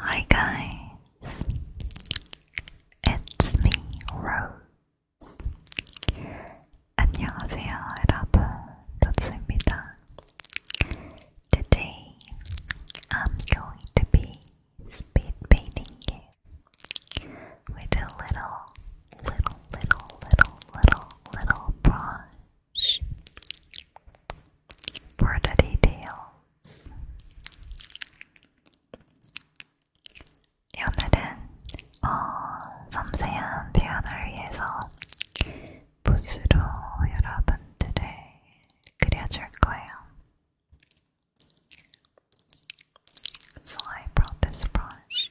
Hi guys, it's me, Rose. 안녕하세요, 여러분. 로즈입니다. Today, I'm going to be speed painting you with a little, little, little, little, little, little brush for the details. 오늘은 어, 섬세한 표현을 위해서 붓으로 여러분들을 그려줄 거예요. So I brought this brush.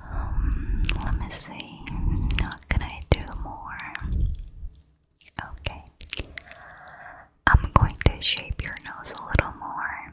Um, let me see. What can I do more? Okay. I'm going to shape your nose a little more.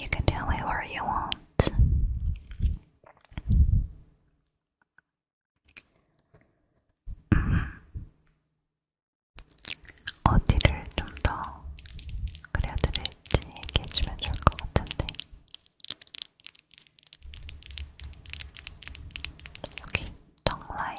You can tell me where you want. 어디를 좀 더 그려드릴지 얘기해주면 좋을 것 같은데 여기 정 라인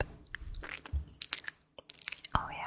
up. Oh, yeah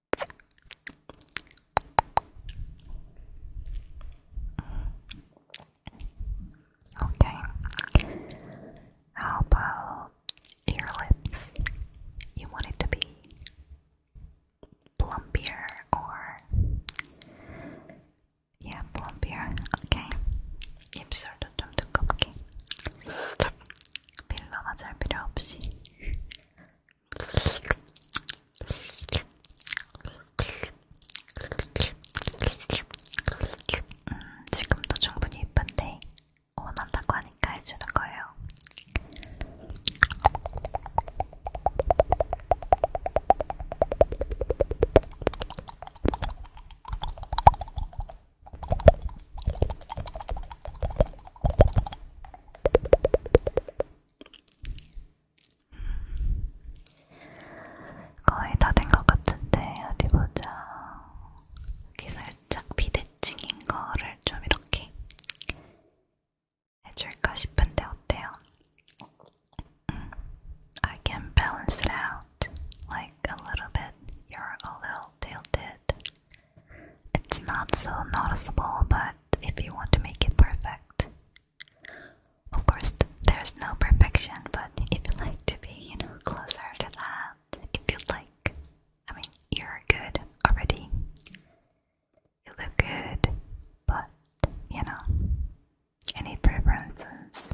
Okay. How about your lips? You want it to be plumpier or yeah, plumpier. Okay. 입술도 좀 두껍게. 필러 맞을 필요 없이 음, 지금도 충분히 예쁜데 원한다고 하니까 해주는 거예요. 거의 다 된 것 같은데 어디 보자. 여기 살짝 비대칭인 거를 좀 이렇게 해줄까 싶은데 어때요? Mm. I can balance it out like a little bit. You're a little tilted. It's not so noticeable, but if you want to make it perfect. Of course, there's no perfection, but if you like to be, you know, closer to that, if you would like, I mean, you're good already. You look good, but, you know, any preferences?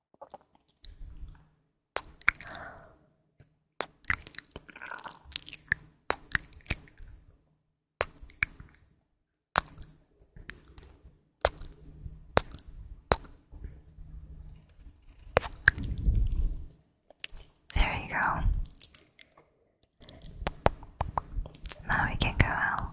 There you go. Now we can go out.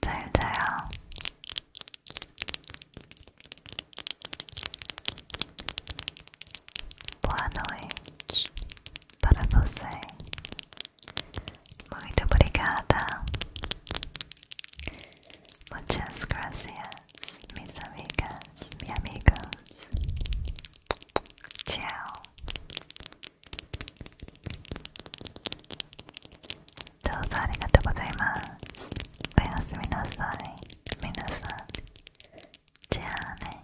잘 Boa noite para você. Muito obrigada. Muchas gracias, mis amigas, mis amigos. Tchau. どうぞありがとうございますおやすみなさい皆さんじゃあね